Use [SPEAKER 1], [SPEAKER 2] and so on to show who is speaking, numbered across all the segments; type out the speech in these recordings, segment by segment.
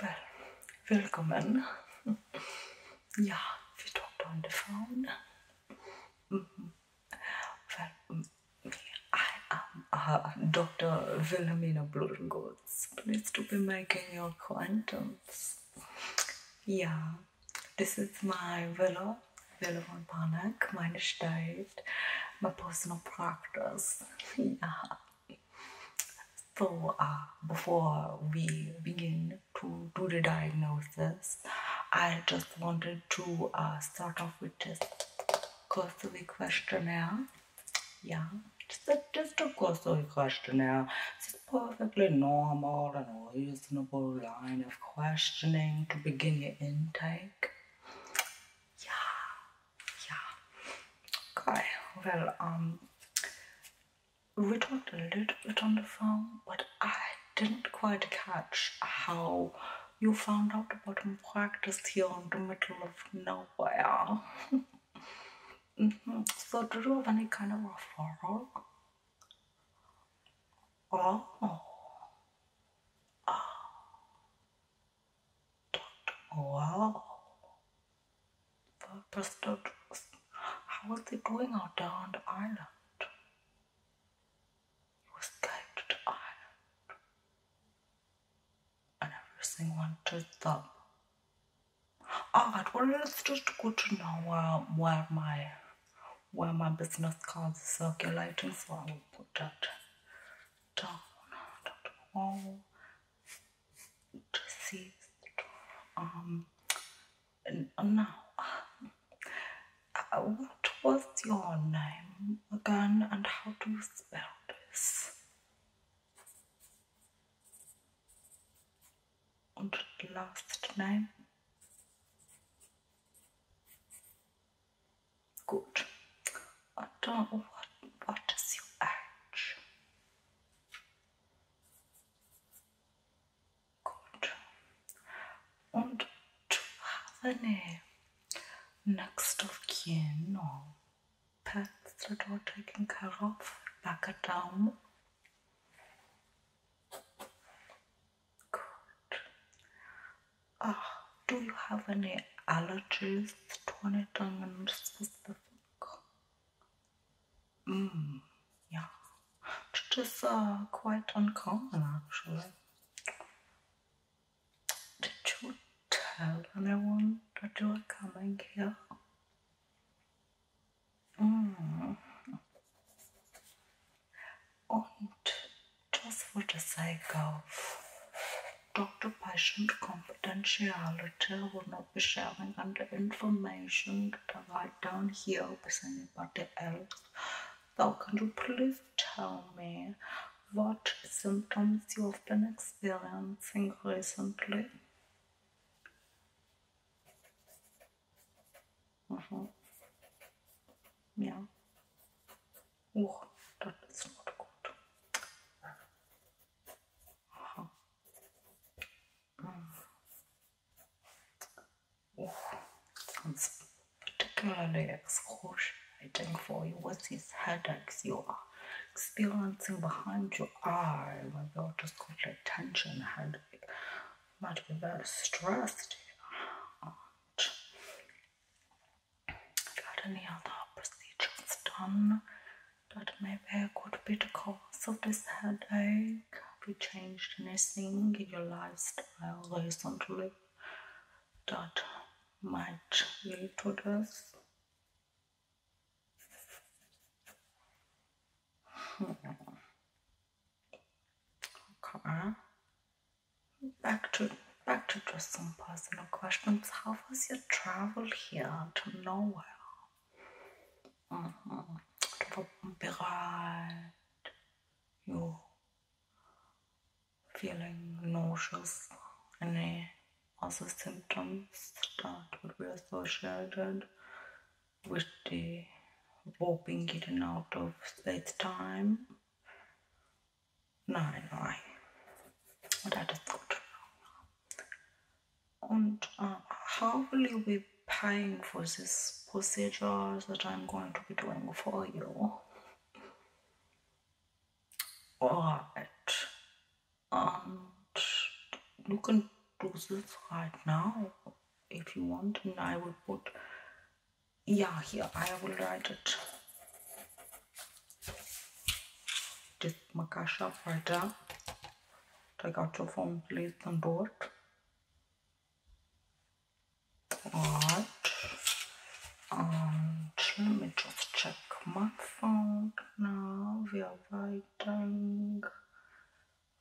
[SPEAKER 1] Well, welcome Willkommen. Ja, vi pratar on the phone. Well, I am uh, Dr. Wilhelmina Bludengolz. Please do be making your acquaintance. Yeah, this is my villa, Villa von Panek, meine Stadt, my personal practice. Yeah. so uh, before we begin to do the diagnosis i just wanted to uh, start off with just a cursory questionnaire yeah just a, just a cursory questionnaire it's perfectly normal and a reasonable line of questioning to begin your intake yeah yeah okay well we talked a little bit on the phone but i didn't quite catch how you found out about practiced here in the middle of nowhere mm-hmm. so do you have any kind of referral oh. ah. Wow. Purpose How was he doing out there on the island? He was the island. And everything went to his up. Alright, well let's just go to now uh, um, where my where my business cards are circulating, so I will put that down. Oh, deceased. Um, now, uh, what was your name again and how do you spell this? Und last name? Gut. What, what, what is your age? Good. Und do you have any next of kin no. pets that are taken care of? Back it down. Good. Uh, do you have any allergies to anything in specific? Mm, yeah, just is quite uncommon actually. Did you tell anyone that you are coming here? Mm. And just for the sake of Dr. Patient confidentiality would not be sharing under information that I write down here with anybody else. Now, can you please tell me what symptoms you have been experiencing recently? Mhm. Ja. Oh, das ist not gut. Mm. Yeah, sounds particularly excruciating for you. What is headaches you are experiencing behind your eye? Maybe you're just got like tension headache. Might be very stressed got any other procedures done that maybe could be the cause of this headache? Have you changed anything in your lifestyle recently that might lead to this? okay back to back to just some personal questions how was your travel here to nowhere? Mm -hmm. You feeling nauseous? Any other symptoms that would be associated with the warping in out of space time? No, no, that is good and um, how will you be paying for this procedure that I'm going to be doing for you? Alright, and you can do this right now if you want, and I will put yeah, here I will write it just Makasha Falda. Take out your phone, please, on board. What? And let me just check my phone now. We are waiting.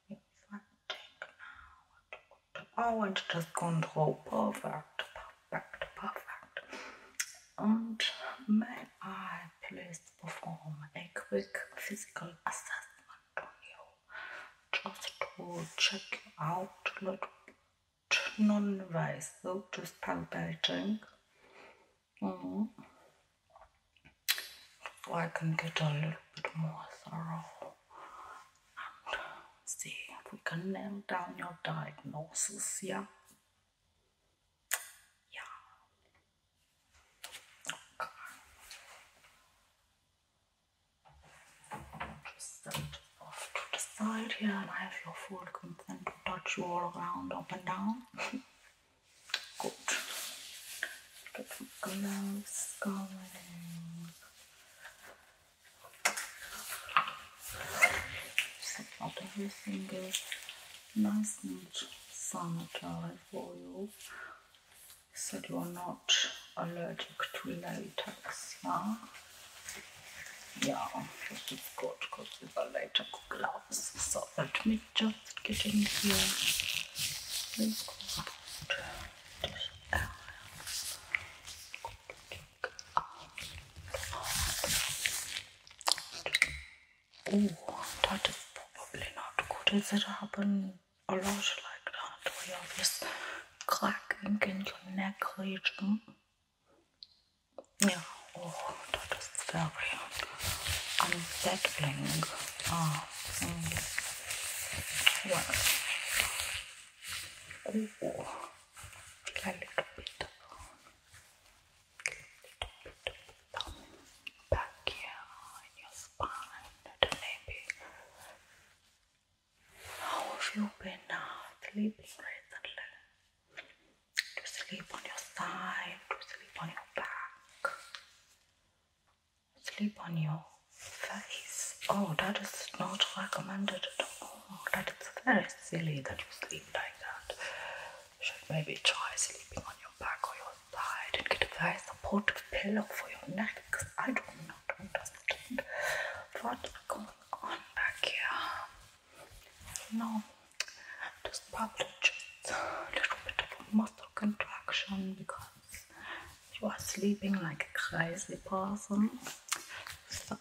[SPEAKER 1] We are waiting now. I want to just gone through. Perfect, perfect, perfect and may I please perform a quick physical assessment on you just to check out a little bit non-invasive, just palpating mm mm-hmm. so I can get a little bit more thorough and see if we can nail down your diagnosis, yeah? Yeah. Okay. Just set off to the side here and I have your full consent to touch you all around, up and down. Good. Get some gloves going. Set out every single nice much sun oil so you are not allergic to latex, yeah? Yeah, it's good because we got latex gloves. So let me just get in here. Oh, that is probably not good. If it happened a lot like that, where you're just clacking in your neck region. Yeah, oh, that is very unsettling. Ah, mm. Oh, a little bit back here in your spine maybe how have you been uh, recently? Do you sleep on your side? Do you sleep on your back? Sleep on your face? Oh, that is not recommended at all. That is very silly that you sleep like that should maybe try sleeping on your back or your side and get a very supportive pillow for your neck because I do not understand what's going on back here. No, there's probably just a little bit of a muscle contraction because you are sleeping like a crazy person. So,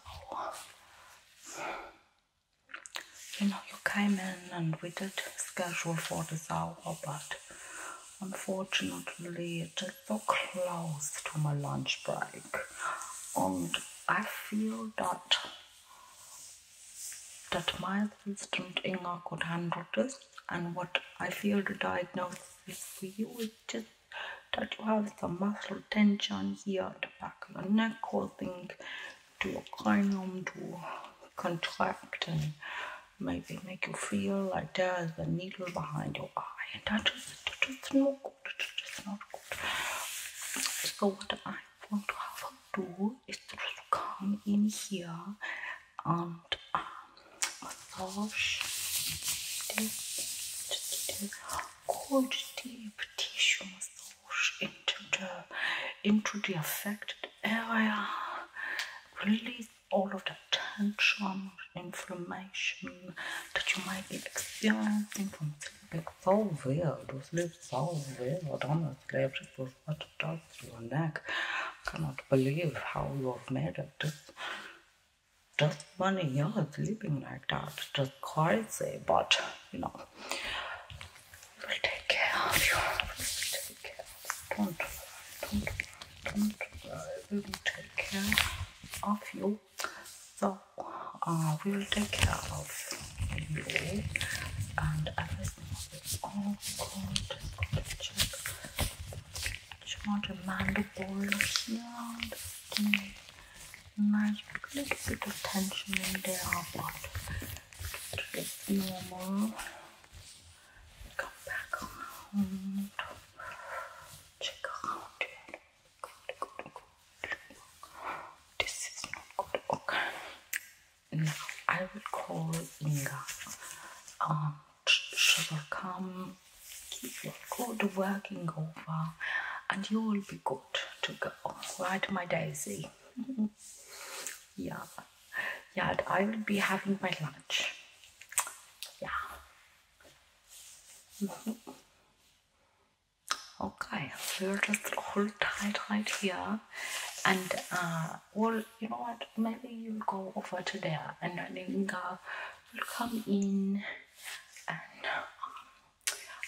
[SPEAKER 1] you know, you came in and we did schedule for this hour, but unfortunately it is so close to my lunch break, and I feel that that my assistant Inga could handle this, and what I feel the diagnosis is for you is just that you have some muscle tension here at the back of your neck causing to cranium to contract and maybe make you feel like there's a needle behind your eye. And that is, that is not good. That is not good. So what I want to have her do is to just come in here and um, massage this, this cold deep tissue massage. push the, into the affected area, release all of the tension, inflammation that you might be experiencing from sleeping. So weird, you sleep so weird, honestly, it was what does your neck. Cannot believe how you have made it. This, just one year sleeping like that, just crazy, but you know I take care of you. Take care. Don't, don't, don't. I will take care of you. So uh, we will take care of you, and everything will be all good. Just, just want a mandible here. Nice little bit of tension in there, but. It's normal. Come back around. Check around This is not good. Okay. Now I will call Inga. Um, she will come. Keep your good working over, and you will be good to go. Right, my Daisy yeah yeah i will be having my lunch yeah mhm. okay we will just hold tight right here and uh, well you know what maybe you'll go over to there and then linga will come in and um,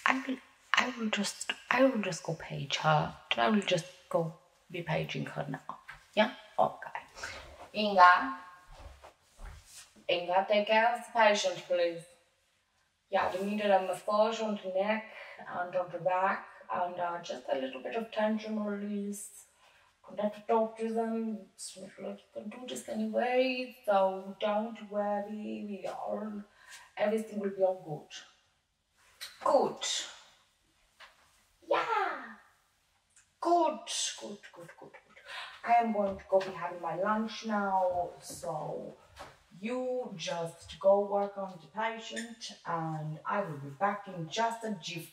[SPEAKER 1] i will I will just I will just go page her I will just go be paging her now. Yeah? Okay. Inga. Inga, take care of the patient, please. Yeah, the needed a massage on the neck and on the back and uh, just a little bit of tension release. Could have to talk to them. It's can do this anyway, so don't worry, we all everything will be all good. Good. Yeah. Good, good, good, good, good. I am going to go be having my lunch now. So you just go work on the patient and I will be back in just a jiffy.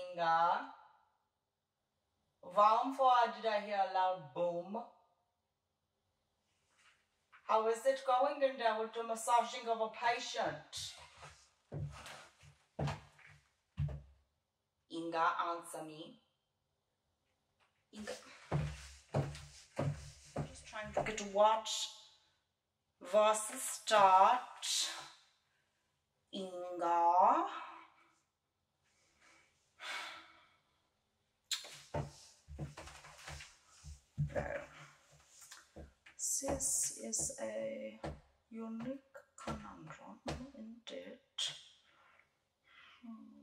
[SPEAKER 1] Inga. Vowel four, did I hear a loud boom? How is it going in devil the massaging of a patient? Inga, answer me. Inga, Just trying to get what versus start inga there this is a unique conundrum indeed hmm.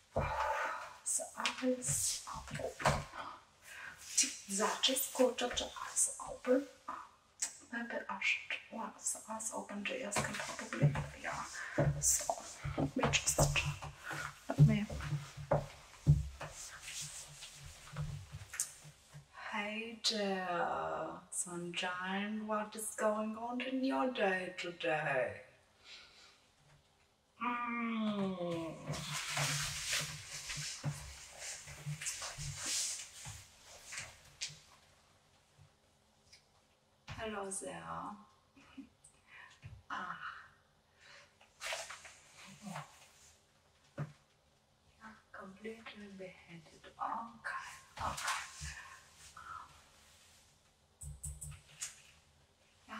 [SPEAKER 1] So eyes open. Exactly. Quarter to eyes open. Maybe I should once the eyes open the ears can probably yeah. So we just let me Hey there, sunshine, what is going on in your day today? Mm. Hello there. ah. Completely beheaded. Okay, okay. Hi,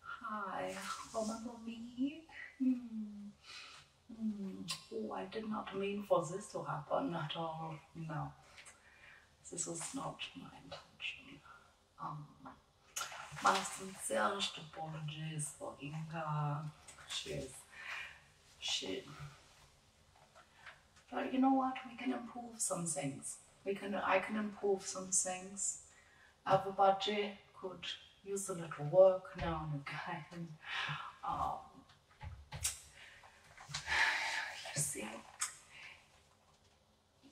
[SPEAKER 1] hi. Hi, Romanovik. Hmm. Hmm. Oh, I did not mean for this to happen at all. No, this was not my intention. Um, my sincerest apologies for Inga. She she, but you know what? We can improve some things. We can. I can improve some things. budget could use a little work now and again. you um, see,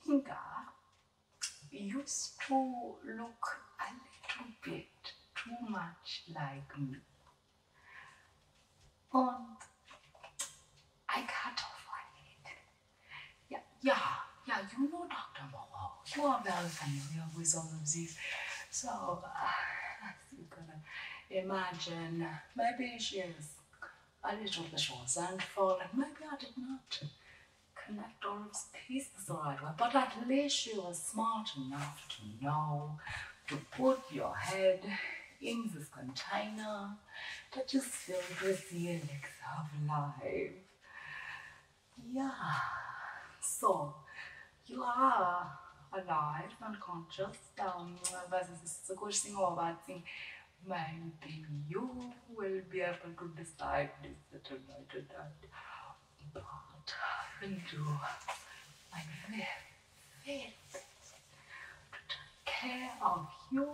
[SPEAKER 1] Inga used to look a little bit too much like me on I can't find it. Yeah, yeah, you know Dr. Moho. You are very familiar with all of this. So uh, you gonna imagine maybe she is a little bit short and falling. Maybe I did not connect all of the pieces the right but at least you were smart enough to know to put your head in this container that you filled with the elixir of life. Yeah. So, you are alive, and conscious um, this is a good thing or sem roubar assim, maybe you will be able to decide this, that, or that, But I will do
[SPEAKER 2] my best take
[SPEAKER 1] care of you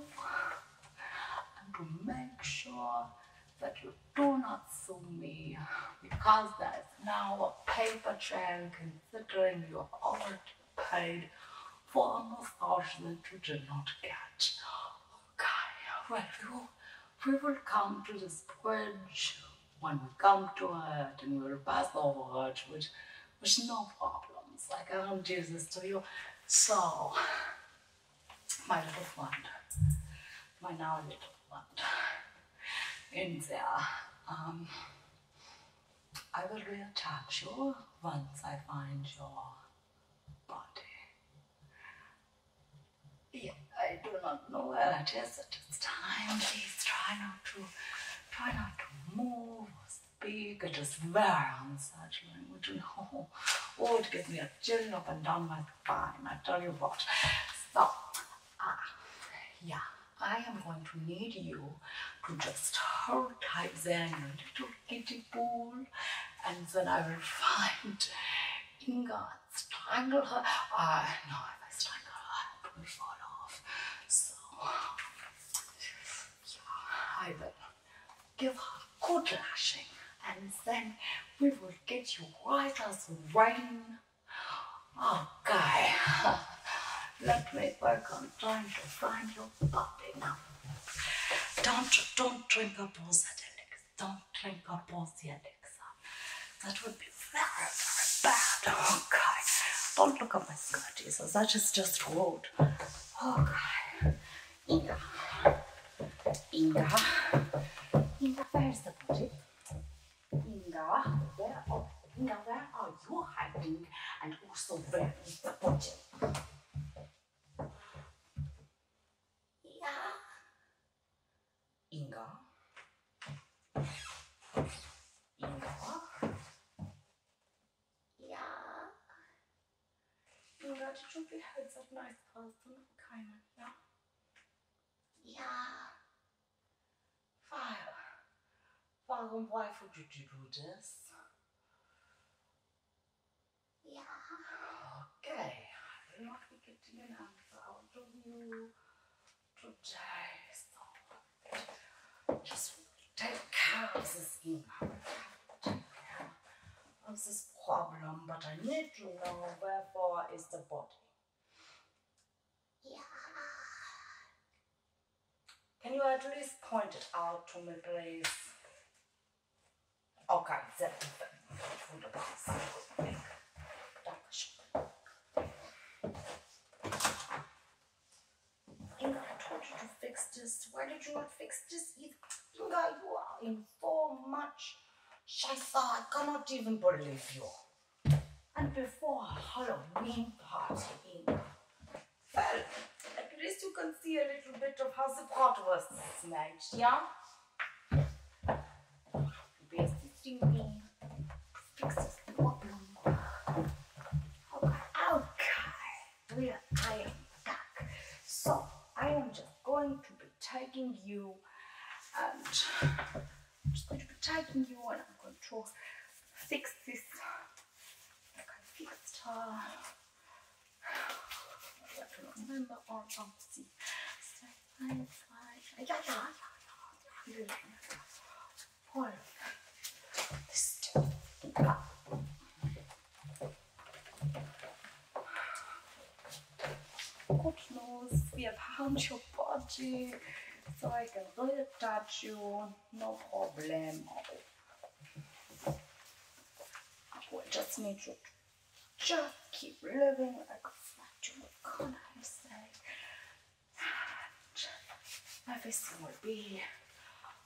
[SPEAKER 1] and to make sure that you do not sue me because there is now a paper trail considering you have already paid for a massage that you did not get. Okay, well, you, we will come to this bridge when we come to it and we'll pass over it, which was no problems. Like, I don't do this to you. So, my little friend, my now little one, in there, um, I will reattach you once I find your body. I do not know where it is at this time. Please try not to, try not to move speak, it was very unsearching language, and oh, oh, it gave me a chill up and down my spine, I tell you what. stop. ah, yeah, I am going to need you to just hold tight there your little kitty pool, and then I will find Inga and strangle her. I uh, ah, know if I strangle her, it will fall off. So, yeah, I will give her a good lashing, and then we will get you white as rain. Okay, oh, let me work on trying to find your body now. Don't, don't drink up all that elixir. Don't drink up all the elixir. That would be very, very bad. Okay. Oh, don't look at my skirt, Jesus. I just just rude.
[SPEAKER 2] Oh, Inga.
[SPEAKER 1] Inga. Inga, where's the body? where are you hiding? And also where is the body? Inga. Inga. Inga. Yeah. You to Nun your Dschungelherz hat nice aus und keinen, ja? Ja. Fire. Warum, why would you do this? Yeah. Okay. I will not be getting an answer out of you today, so take care of this email. Take care this problem, but I need to know wherefore is the body. Yeah. Can you at least point it out to me, please? Okay, that wunderbar. Inga, I told you to fix this. Why did you not fix this? Inga, you are in for much. Shaisa, I cannot even believe you. And before Halloween party, Inga, well, at least you can see a little bit of how the pot was this yeah? Be assisting me to fix this problem. okay we are iron duck. So I am just going to be tagging you and I'm just going to be tagging you and I'm going to fix this like I fixed her. I don't remember or don't see. This God knows we have harmed your body, so I can really touch you, no problem. We just need you just keep living like a flat can I say? And everything will be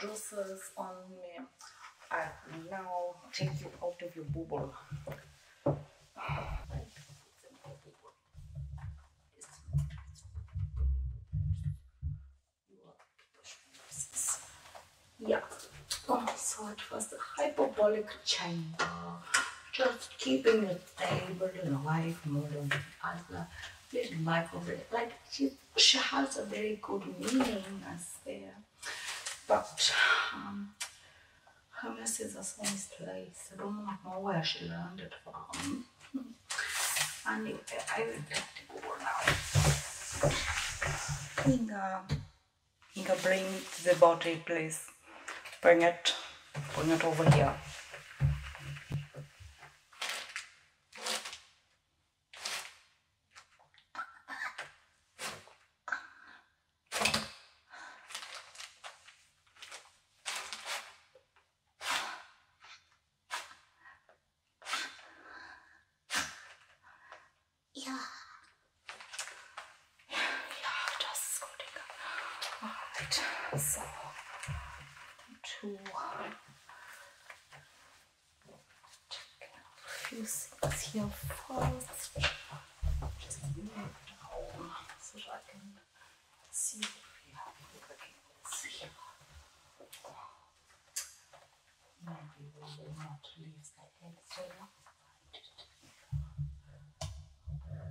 [SPEAKER 1] juices on me I now take you out of your bubble yeah oh, so it was a hyperbolic chamber just keeping the stable in life more than the other little microwave like she's she has a very good meaning as well, but um, her message is place. I don't know where she learned it from. Anyway, I will let it go now. Inga, Inga, bring the bottle, please. Bring it, bring it over here.
[SPEAKER 2] Ja. Ja, das ist Alright, so. Two a few things here first. Just move it
[SPEAKER 1] home I can see what we have looking Maybe we will not leave the head there.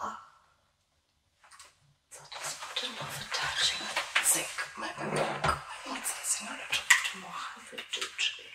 [SPEAKER 2] Oh. So that's not enough attaching. I think maybe we'll to in a little bit more heavy duty here.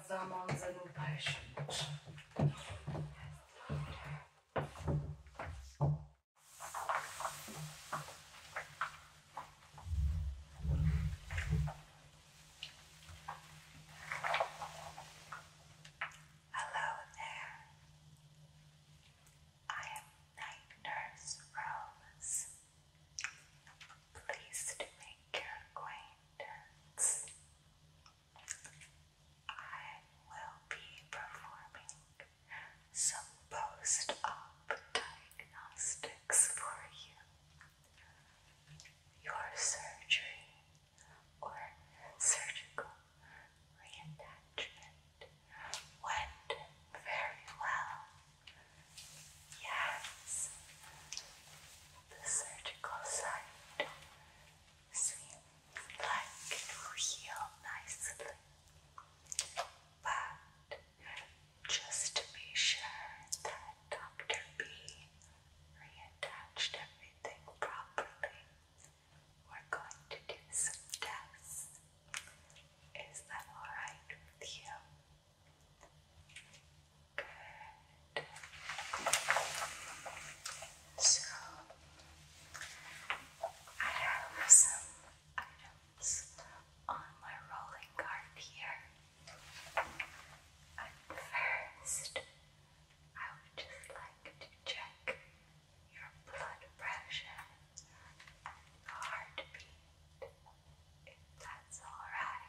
[SPEAKER 2] Hello there. I am Night Nurse Rose. Pleased to make your acquaintance attendance. I will be performing some post-op diagnostics for you. Your surgery or surgical reattachment went very well. Yes, the surgical side seems like it will heal nicely. But just to be sure that Dr. B reattached everything properly, we're going to do some tests. Is that alright with you? Good. So, I have some items on my rolling card here. But first, I would just like to check your blood pressure and heartbeat, if that's alright.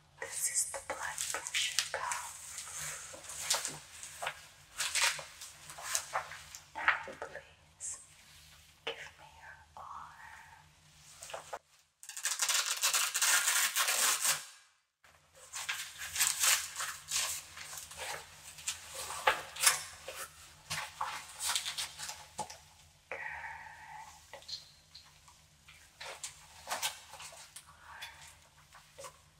[SPEAKER 2] This is the blood pressure cuff. Now, please give me your arm. Good.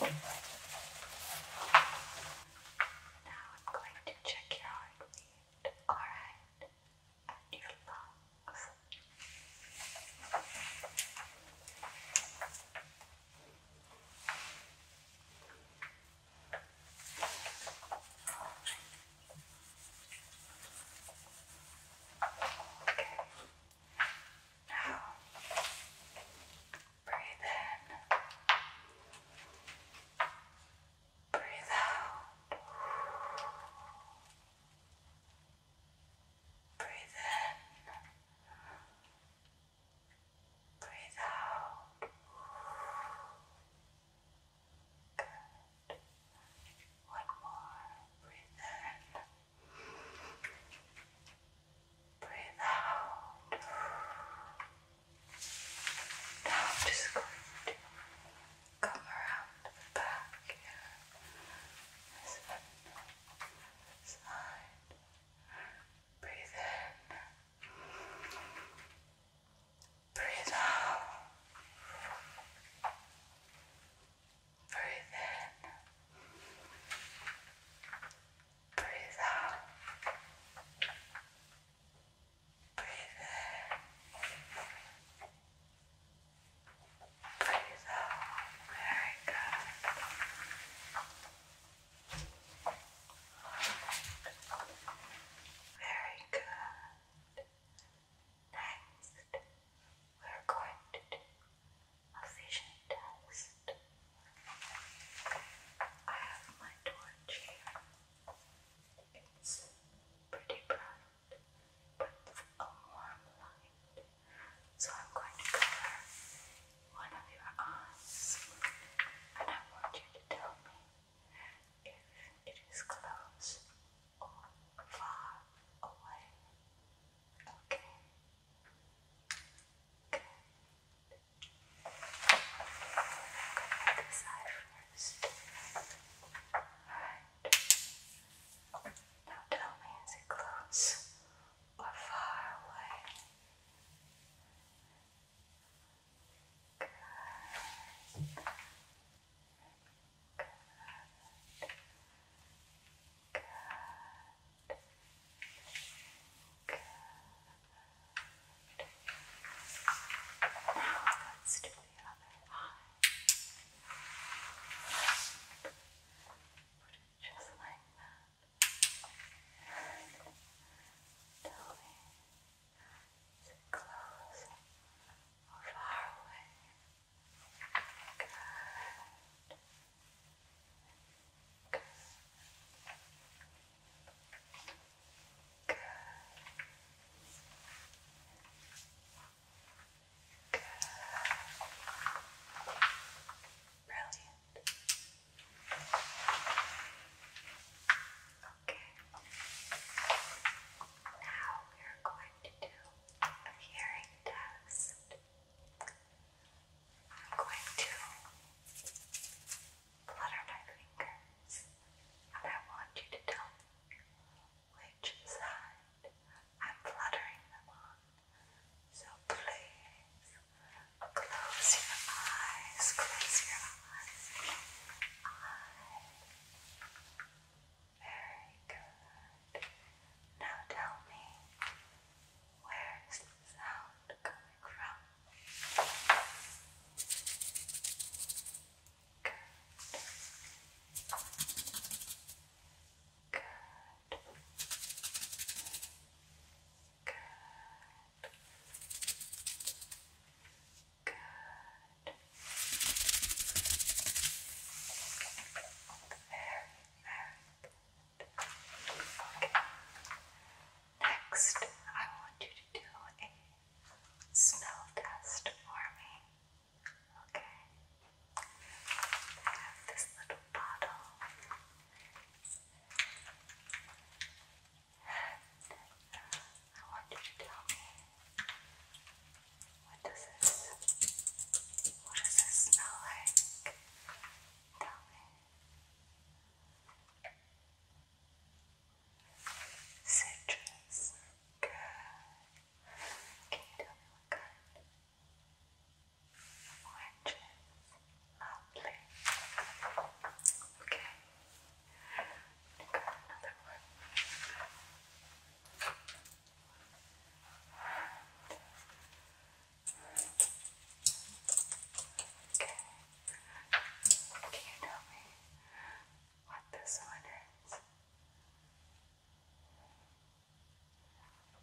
[SPEAKER 2] Okay. Now I'm going to check your heartbeat, alright, and your lungs. Okay. Okay. Now breathe in. Breathe out. Breathe in. Breathe out. Good. One more. Breathe in. Breathe out. Now I'm just going to come around the back here. This side. Breathe in. Breathe out. Breathe in. Breathe out. Breathe in. Breathe out. Very good. Very good. Next, we're going to do a vision test. I have my torch here. It's pretty bright, but a warm light. So I'm going to cover one of your eyes, and I want you to tell me if it is close or far away. Okay. Good. This first. Alright. Now tell me, is it close or far away? Good. Good. Good. Good. Now let's do the other Put it just like that. And close far away? Good. Good. Good. Good. Brilliant. Okay. Now we are going to do a hearing test. I'm going to flutter my fingers and I want you to tell me which side I'm fluttering them on. So please close your eyes, close your eyes. Eyes. Very good. Now tell me, where is the sound coming from? Good. Good. Good. Good. Very, very good. Okay. Next, I want you to do a smell test for me. Okay. I have this little bottle. I want you to tell me what does this what does this smell like? Tell me. Citrus. Good. Can you tell me Lovely. Okay. Another one. Okay. Can you tell me what this one is?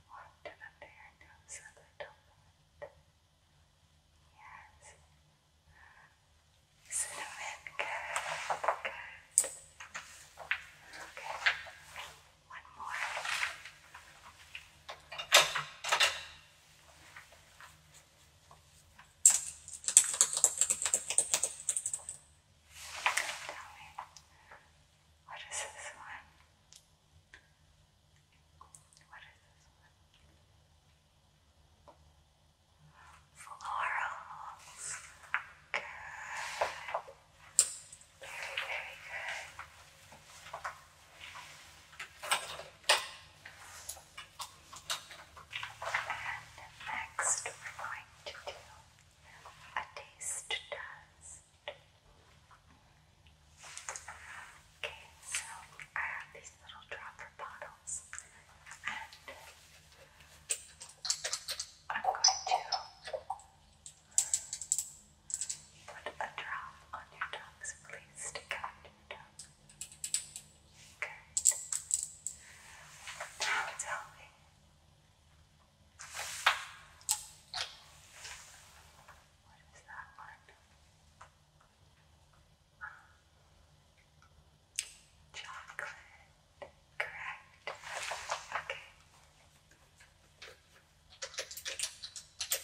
[SPEAKER 2] Walked under your nose Yes. Cinnamon, good, good. Okay, one more. Tell me, what is this one? What is this one? Florals. Good. Very, very good. And next we're going to do a taste test. Okay, so I have these little dropper bottles nails. And I'm going to put a drop on your tongue, please stick out your tongue. Good. Now tell me. What is that one? Chocolate, correct. Okay.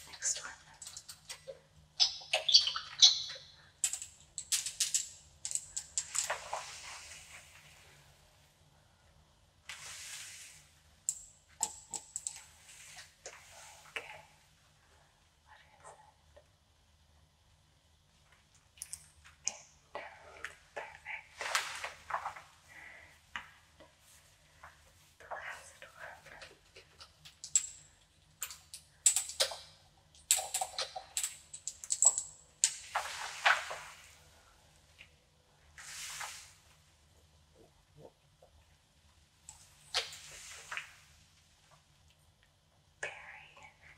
[SPEAKER 2] Next one. Okay. What is it? Bit. Perfect. the last one berry.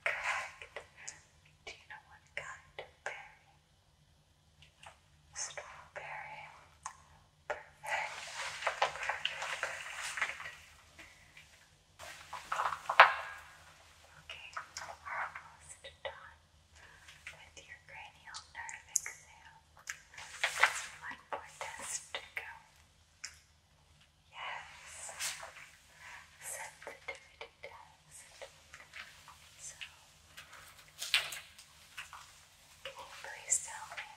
[SPEAKER 2] Correct. Do you know what kind berry? Strawberry. Okay, almost done with your cranial nerve exam. one more test to go. Yes. Sensitivity test. So, can you please tell me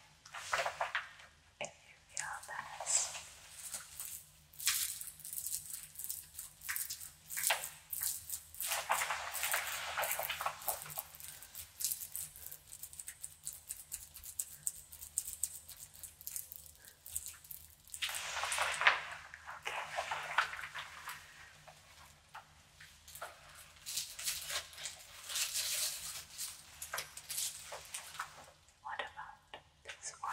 [SPEAKER 2] if you feel this? What about this one?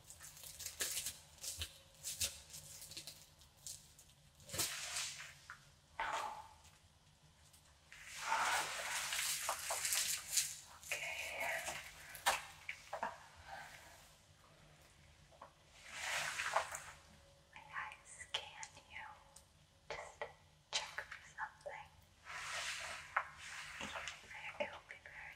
[SPEAKER 2] May I scan you? Just check for something. It will be very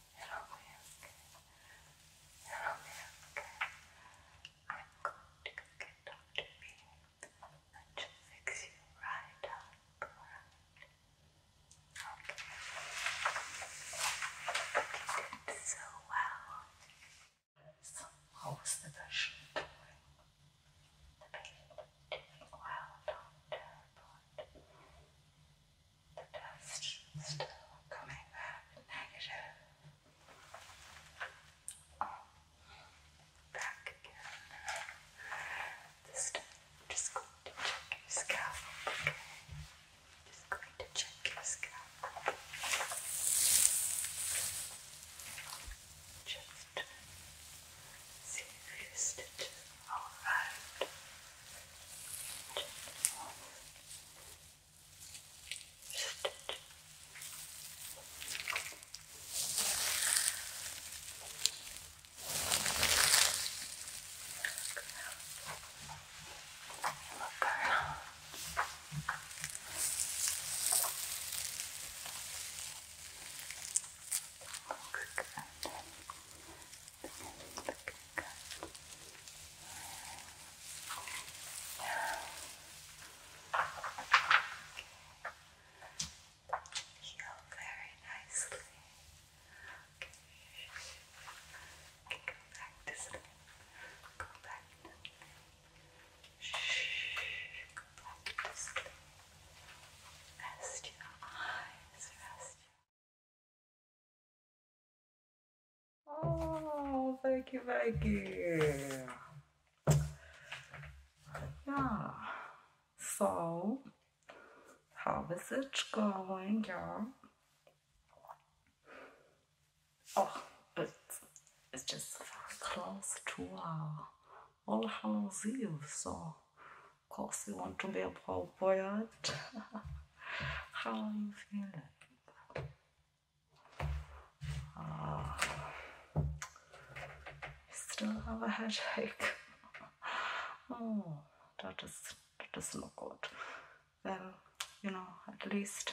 [SPEAKER 2] It'll be okay. It'll be okay. I'm going to go get Dr. B and she fix you right up. Okay. You did so well. So what the patient The patient doing well,
[SPEAKER 1] doctor, the dust still coming back
[SPEAKER 2] negative. back again. This time just going to check your scalp, okay? Just going to check your scalp. Just see if your stitches Alright. Just one Look around. Look around. Look Heal very nicely. Okay. okay, go back to sleep. Go back to sleep. Shh. Go back to sleep. Rest your eyes. Rest your
[SPEAKER 1] Oh, thank you, thank you. Yeah. So, how is it going, y'all? Oh, it's, it's just close to our uh, All Hallows Eve, so of course, you want to be a poet. How are you feeling? Ah, oh, still have a headache. oh, that is that is no good. Well, you know, at least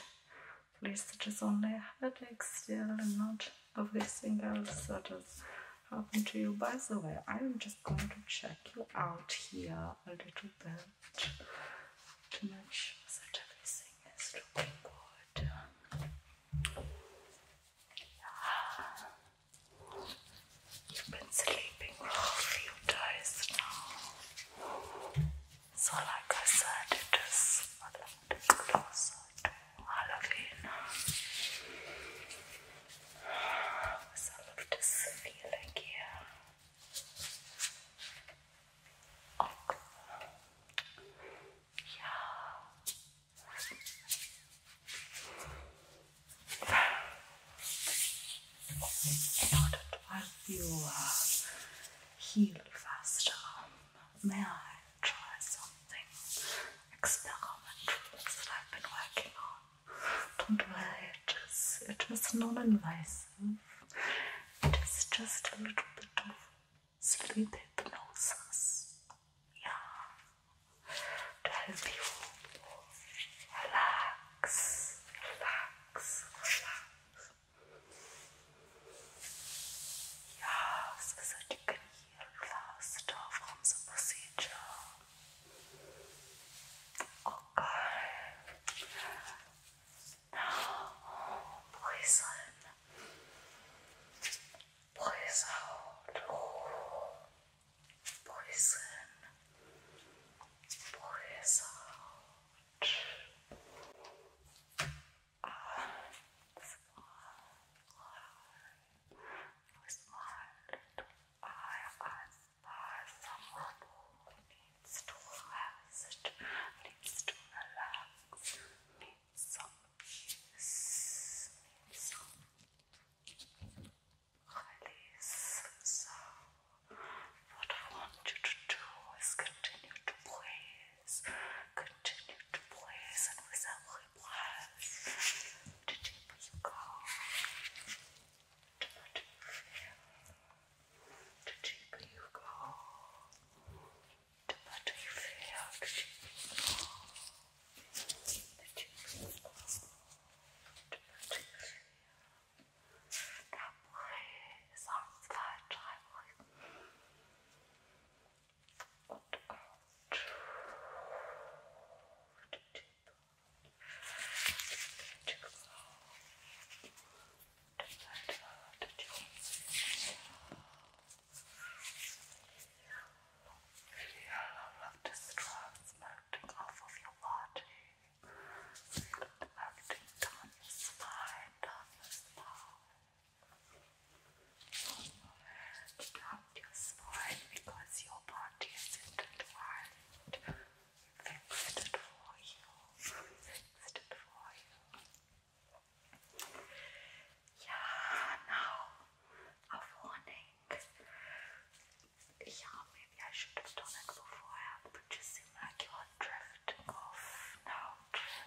[SPEAKER 1] at least it is only a headache still, and not everything else that has happened to you. By the way, I am just going to check you out here now a little bit too make sure that everything is looking good. Yeah.
[SPEAKER 2] You've been sleeping for a few days now. So like I said, it is a little bit closer to Halloween. With all of this feeling here. In
[SPEAKER 1] order to help you heal faster, uh, may I try
[SPEAKER 2] something experimental that I've been working on? Don't worry,
[SPEAKER 1] it just it is non-invasive. It is just a little bit of sleep hypnosis. Yeah.
[SPEAKER 2] To help you relax, relax, relax. Yeah, so that you can heal faster from the procedure. Okay. Now, poison. Poison. Oh. Poison. Poison. Smile, smile, I, I far from rubble, needs to rest, needs to relax, needs some peace, needs some release. So, what I want you to do is continue to praise, continue to praise, and with every the deeper you go, what did you go? What do you feel? Did you go? Did you go? What do love the straws melting off of your body. melting down your spine, down your spine. Down your spine because your body is intertwined fixed you, Yeah, now a warning. I should have done it beforehand, but you seem like you are drifting off now.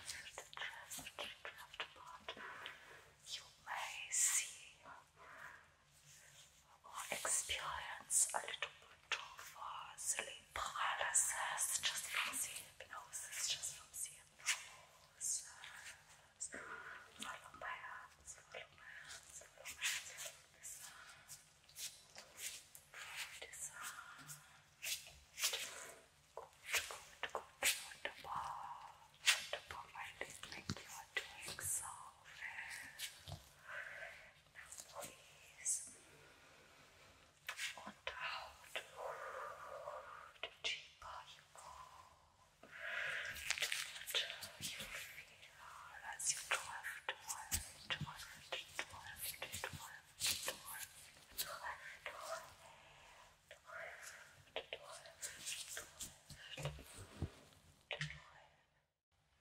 [SPEAKER 2] Drift, drift, drift apart. You may see experience a little bit of uh, sleep paralysis just from the hypnosis, just from the hypnosis. Follow my hands, follow this hand, from this hand. Good, good, good, wonderful, wonderful. I think you are doing so well please. Und out. The deeper you go, the you feel as you drift, drift, drift, drift, drift, drift, drift away, drift, drift, drift, drift, drift.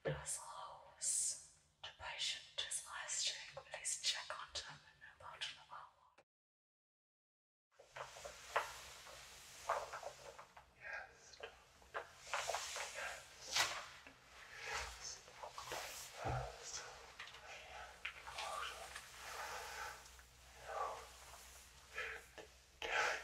[SPEAKER 2] As the patient to last check, please check on them in about an hour. Yes, doctor. Yes. Yes, doctor. Yes, doctor. Yes,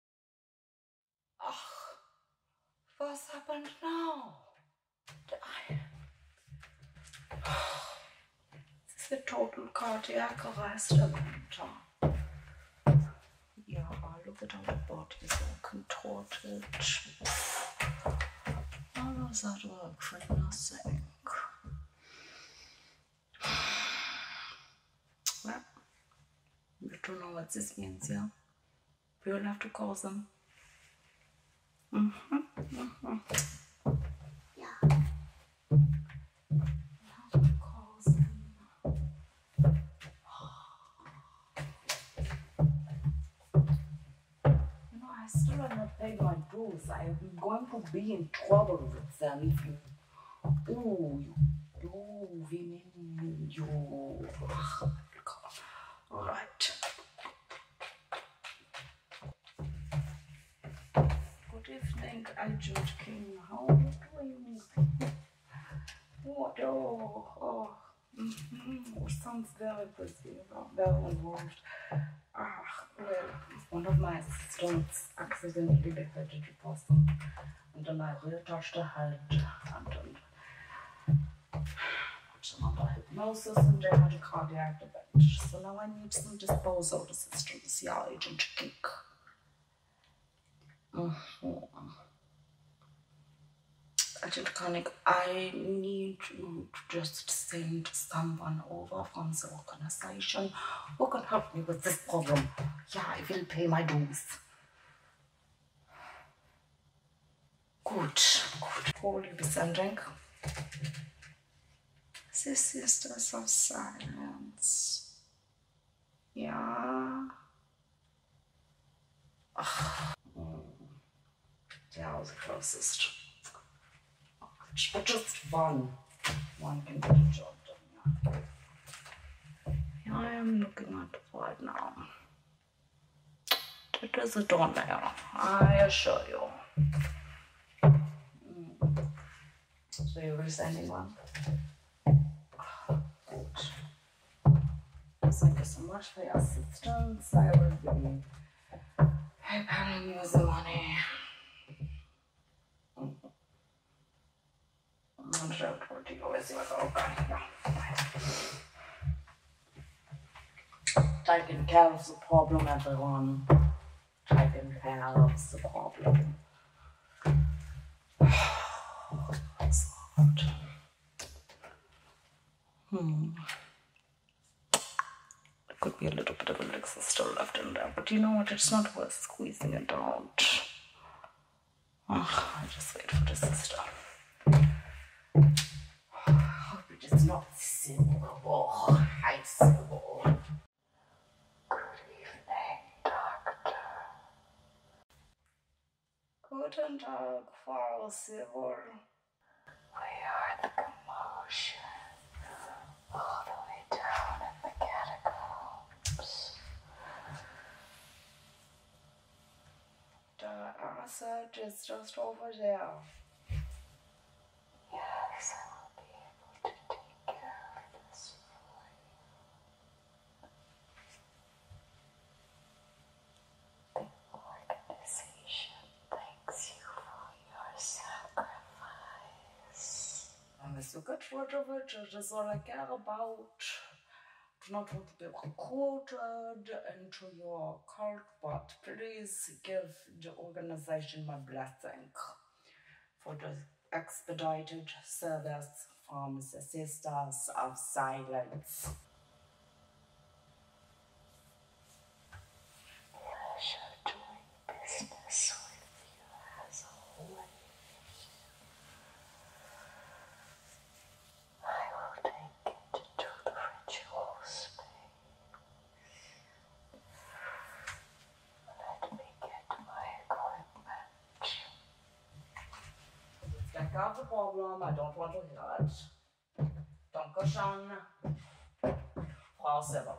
[SPEAKER 2] Oh,
[SPEAKER 1] what's happened now? this is a total cardiac arrest Amanda. Yeah, look at how the body is all contorted. How does that work for nothing? Well, we don't know what this means, yeah? We will have to call them.
[SPEAKER 2] Uh huh. Uh huh. Yeah. You
[SPEAKER 1] know, I still have not paid my bills. I'm going to be in trouble with them if you Uy, moving you. All right. Good evening, Ajud King. How are you doing? What? Oh, oh. Mm -hmm. Sounds very positive, very involved. Ah, well, one of my students accidentally decided to so now I need some disposal assistance. Yeah, Agent Kick. Mm -hmm. I need to just send someone over from the organization who can help me with this problem. Yeah, I will pay my dues. Gut, gut. Hol ein bisschen Drink. The
[SPEAKER 2] Sisters of Silence.
[SPEAKER 1] Ja. Ach. Yeah, ah. the closest. But just one. One can do the job. I am looking at the file now. It is a torn layer, I assure you. Mm. So you were sending one? Thank you so much for your assistance. I will be preparing you the money. Może płodniło złego Taking care of the problem, everyone. Taking care of the problem. That's hard. Hmm. It could be a little bit of a elixir still left in there, but you know what? It's not worth squeezing it out. Oh, I just wait for this to stop. Ah, I hope it is not syllable. High syllable.
[SPEAKER 2] Good evening, Doctor.
[SPEAKER 1] Guten Tag, Frau Silver. We heard the
[SPEAKER 2] commotion all the way down in the catacombs.
[SPEAKER 1] The answer is just over there. Yes, I will be able to take care of this
[SPEAKER 2] The organization
[SPEAKER 1] thanks you for your sacrifice. I'm so good for the all I care about do not want to be quoted into your cult, but please give the organization my blessing for the expedited service from Sisters of Silence.
[SPEAKER 2] Russia doing business with you has always I will take it to the ritual space. Let
[SPEAKER 1] me get my equipment. Let's the problem. I don't want to hear it. Dankeschön. Frau Silver.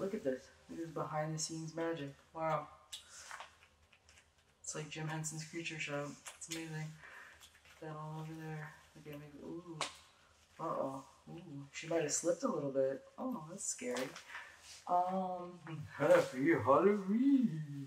[SPEAKER 2] Look at
[SPEAKER 1] this. Look at behind the scenes magic. Wow. It's like Jim Henson's Creature Shop. It's amazing. That all over there. Okay, maybe. Ooh. Uh oh. She might have slipped a little bit. Oh, that's scary.
[SPEAKER 2] Um. Happy Halloween.